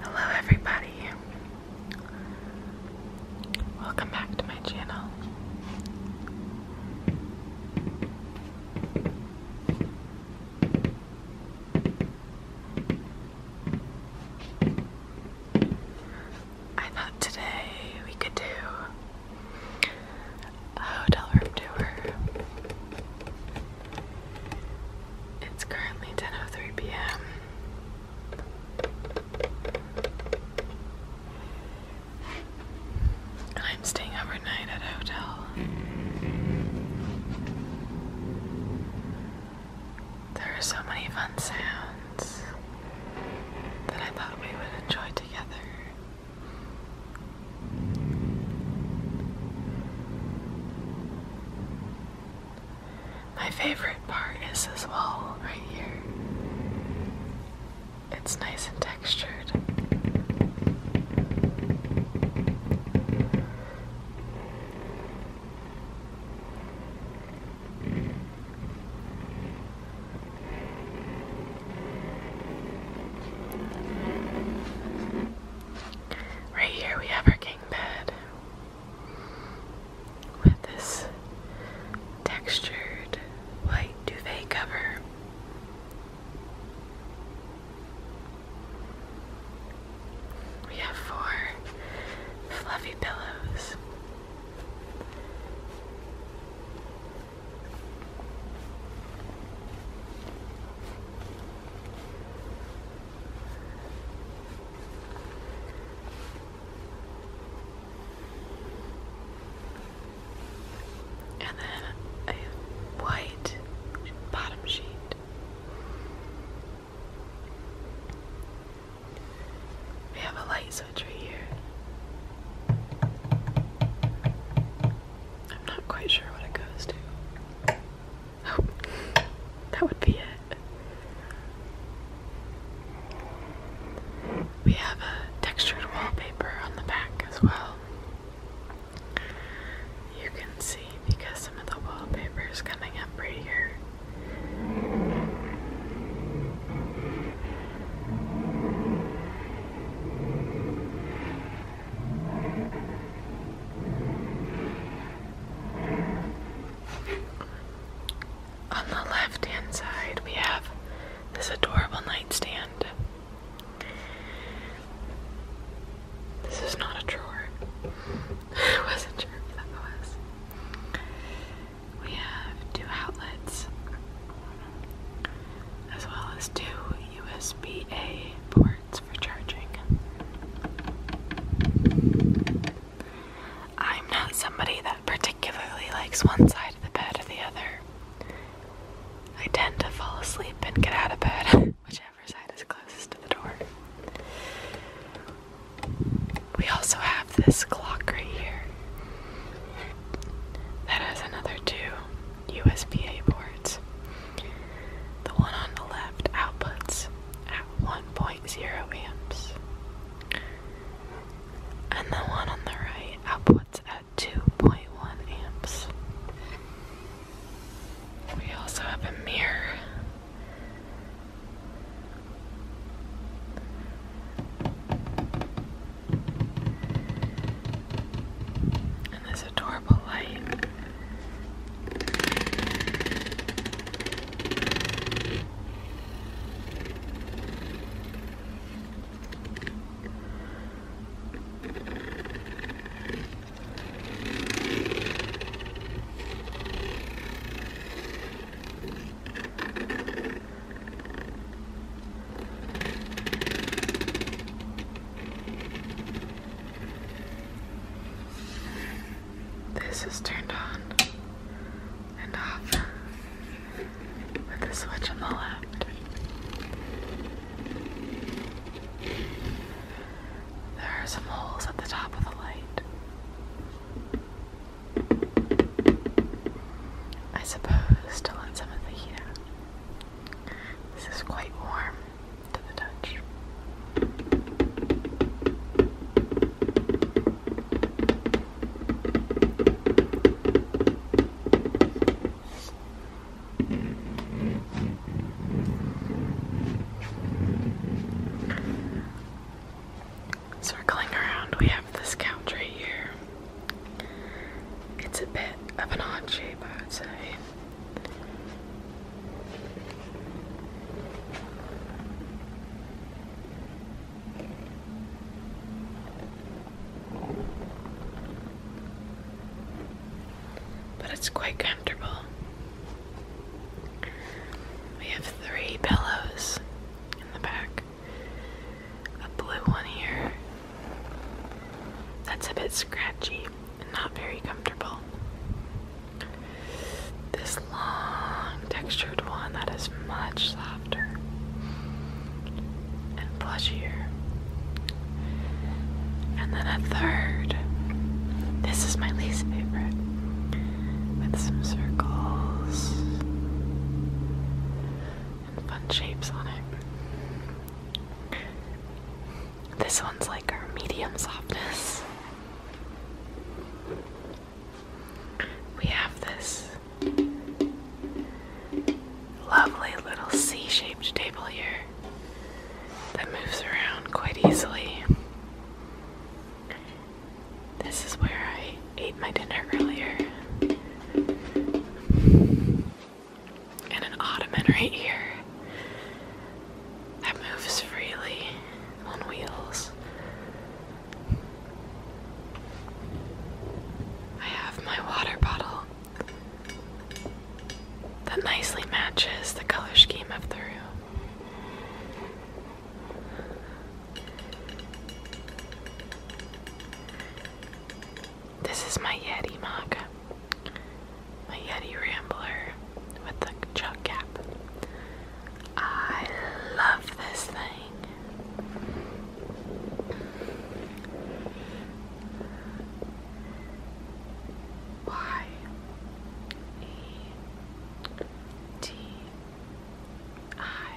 Hello, everybody. Welcome back to my channel. I thought today we could do a hotel room tour. It's currently 10:03 p.m. I'm staying overnight at a hotel. There are so many fun sounds that I thought we would enjoy together. My favorite part is this wall right here. It's nice and textured. Right here we have our bed with this textured white duvet cover. We have four fluffy pillows. And then a white bottom sheet. We have a light switch right here. I'm not quite sure what it goes to that would be it. We have a textured wallpaper on the back as well. You can see because some of the wallpaper is coming up right here. On the left hand side, we have this adorable nightstand. This is not a drawer. I wasn't sure if that was. We have two outlets as well as two USB-A ports for charging. I'm not somebody that particularly likes one side of the bed or the other. I tend to fall asleep and get out of bed, whichever side is closest to the door. We also have this clock right here that has another two USB-A ports. The one on the left outputs at 1.0 amps, and the one on the right outputs at 2.1 amps. We also have a mirror and this adorable light. This is turned on and off with the switch on the left. There are some holes at the top of the light. I suppose to let some of the heat this is quite warm to the touch. Circling around, we have this couch right here. It's a bit of an odd shape, I would say. But it's quite comfortable. We have three pillows in the back a blue one here, that's a bit scratchy and not very comfortable. This long textured one that is much softer and plushier. And then a third. This is my least favorite. With some circles and fun shapes on it. This one's like our medium softness. We have this lovely little C shaped table here that moves around quite easily. This is where I ate my dinner earlier and an ottoman right here that moves freely on wheels. I have my water bottle that nicely matches the color scheme of the room. This is my Yeti mug. My Yeti Rambler with the chuck cap. I love this thing. Y E T I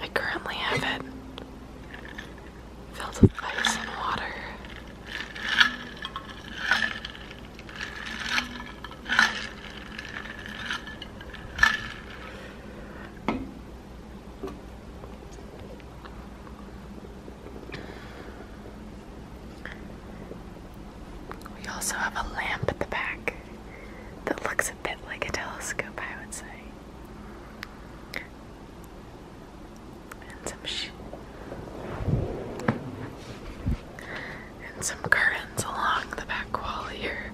I currently have it filled with ice and water. We also have a lamp at the back that looks a bit like a telescope, I would say. And some curtains along the back wall here.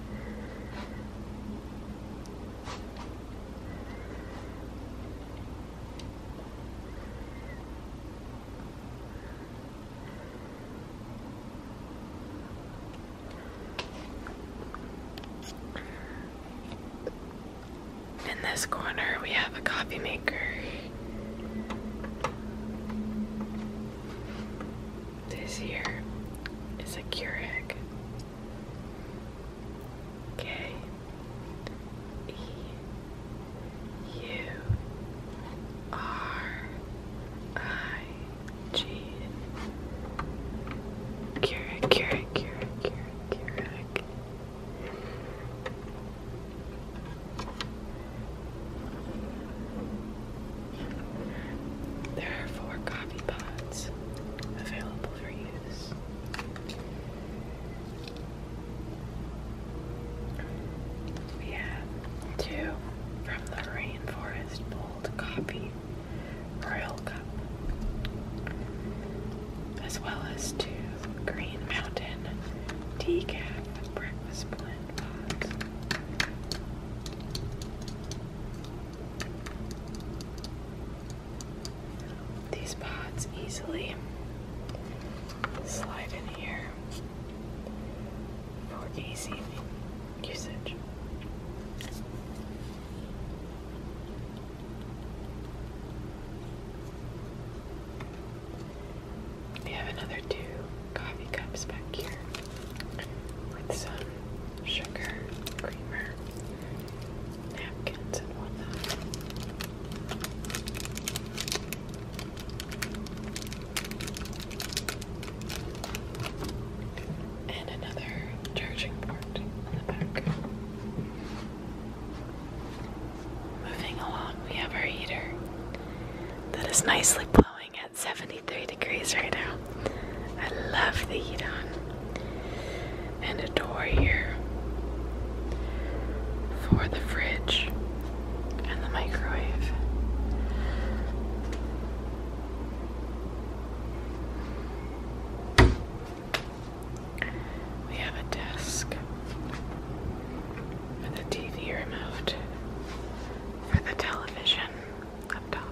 In this corner, we have a coffee maker. This here is a Keurig. K E U R I G. Keurig, Keurig, Keurig, Keurig, Keurig. There are four coffee pots available for use. We have two from the Rainforest Bold Coffee Royal Cup, as well as two Green Mountain Decaf Breakfast Blend Pods. These pods easily slide in here for easy usage. We have another two coffee cups back here with some sugar, creamer, napkins, and whatnot. And another charging port in the back. Moving along, we have our heater that is nicely blowing at 73 degrees right now. I love the heat on. And adore here for the fridge and the microwave. We have a desk and the TV removed for the television up top.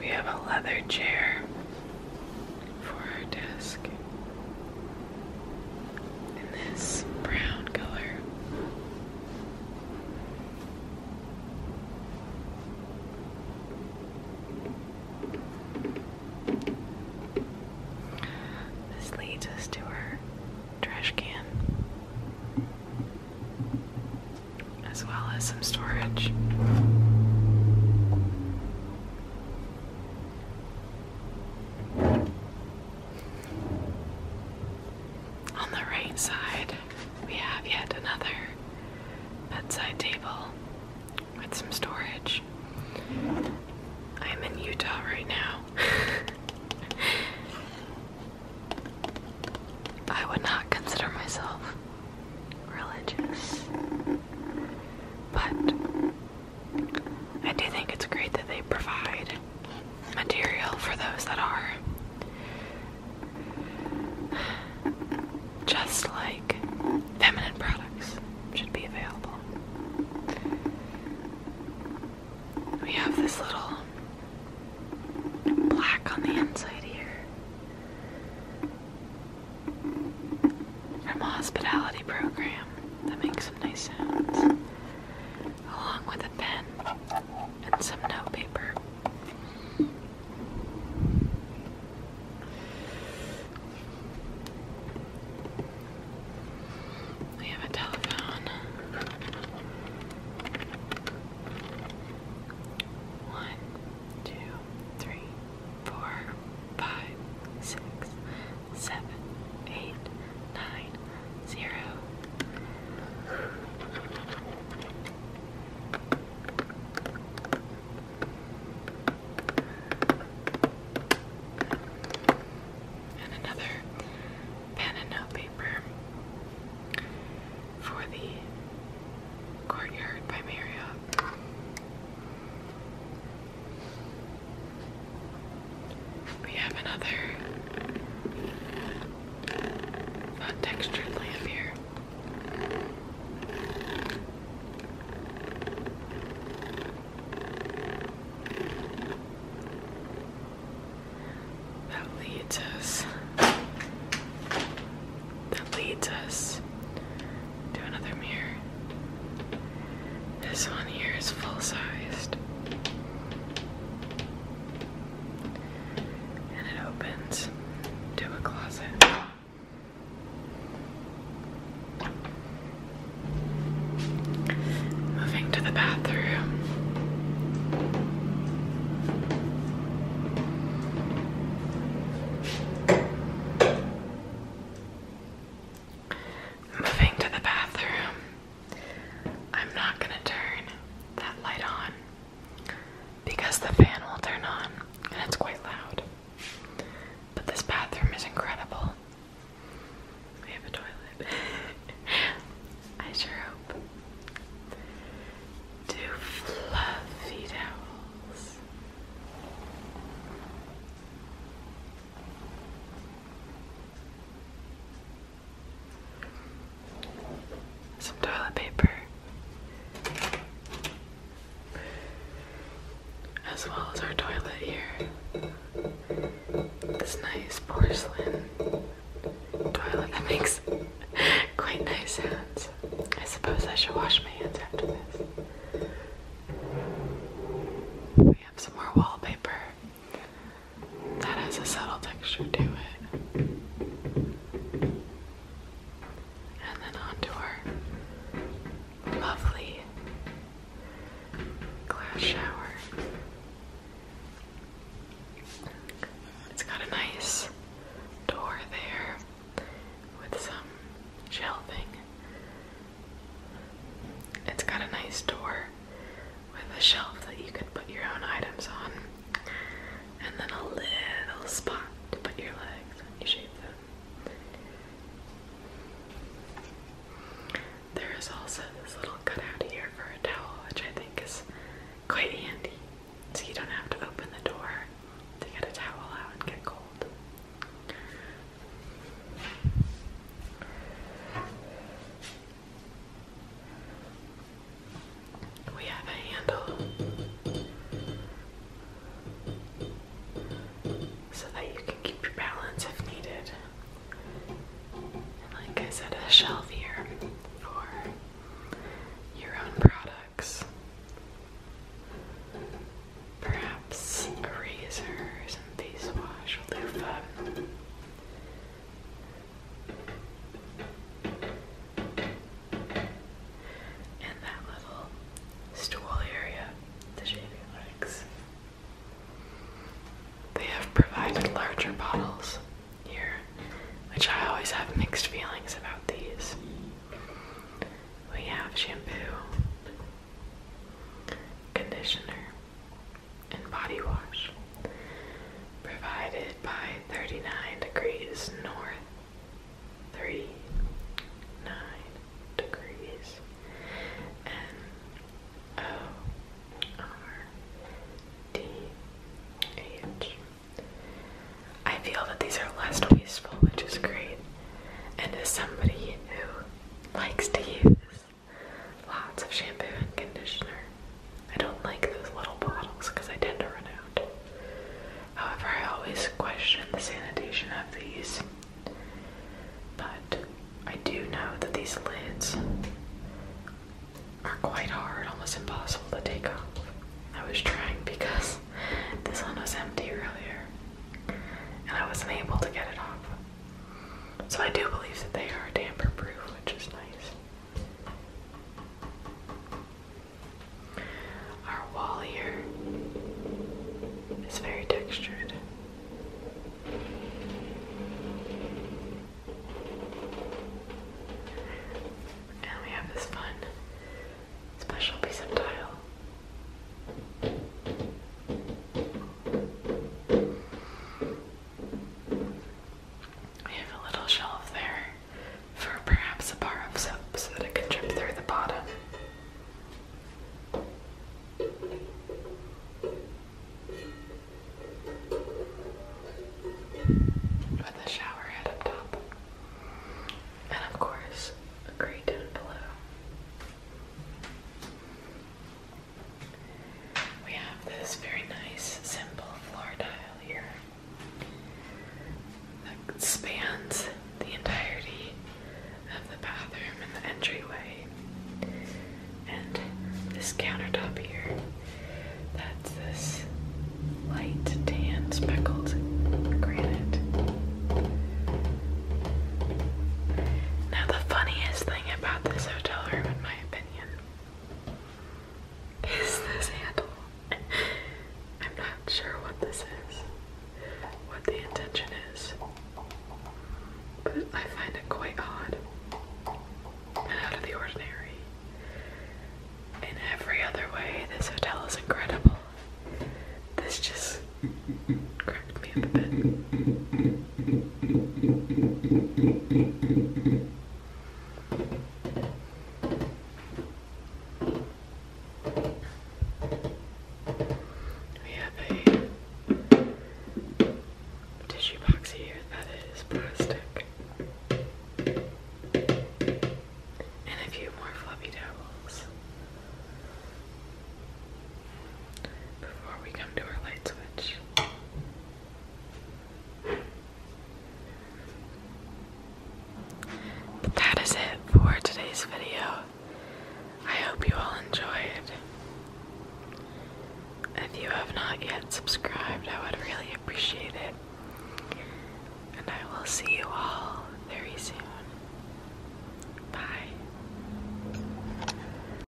We have a leather chair for our desk in this brown color. This leads us to our trash can, as well as some storage. On the right side, we have yet another bedside table with some storage. I'm in Utah right now. I would not consider myself religious, but I do think it's great that they provide material for those that are. Just like feminine products should be available. We have this little black on the inside here from hospitality program that makes some nice sounds, along with a pen and some notepaper. We have a telephone. One, two, three, four, five, six, seven, eight, nine, zero. And another pen and note for the Courtyard by Marriott. We have another textured lamp here. That leads us that leads us to another mirror. This one here is full-sized and it opens to a closet. Moving to the bathroom. Moving to the bathroom. I'm not going to turn that light on because the fan will turn on and it's quite loud. But this bathroom is incredible. We have a toilet. I sure hope. Two fluffy towels some toilet paper, as well as our toilet here. This nice porcelain toilet that makes quite nice sounds. I suppose I should wash my hands after this. We have some more wallpaper that has a subtle texture to it. And then onto our lovely glass shower. It's got a nice door there with some shelving. It's got a nice door with a shelf that you can put your own items on and then a little spot to put your legs you shave them. There is also this little cutout here for a towel, which I think is quite handy, so you don't have to open the door to get a towel out and get cold. We have a handle so that you can keep your balance if needed. like I said, a shelf here for your own products. Perhaps a razor, face wash and that little stool area to shave your They have provided larger bottles here, which I always have mixed feelings about these. We have shampoo, conditioner, and body wash provided by 39 degrees north 39 degrees N O R D H I feel that these are less wasteful, which is great. And as somebody who likes to use lots of shampoo and conditioner, I don't like those little bottles because I tend to run out. However, I always question the sanitation of these. But I do know that these lids are quite hard, almost impossible to take off. I was trying because this one was empty earlier and I wasn't able to get it off. So I do believe that they are damper proof, which is nice. Our wall here is very textured. And we have this fun special piece of tile. I have a little shelf there for perhaps a bar of soap so that it can drip through the bottom. With a shower up top. And of course, a grey down below. We have this very nice, simple floor tile here that spans the entirety of the bathroom and the entryway. And this countertop here, that's this light tan speckled granite. Now, the funniest thing about this hotel room, in my opinion, is this handle? I'm not sure what this is, what the intention is, but I find it quite odd and out of the ordinary. In every other way, this hotel is incredible. This just cracked me up a bit. We have a tissue box here that is plastic. And a few more fluffy towels. Before we come to our light switch that is it for today's video. I hope you all enjoyed. If you have not yet subscribed, I would really appreciate it. And I will see you all very soon. Bye.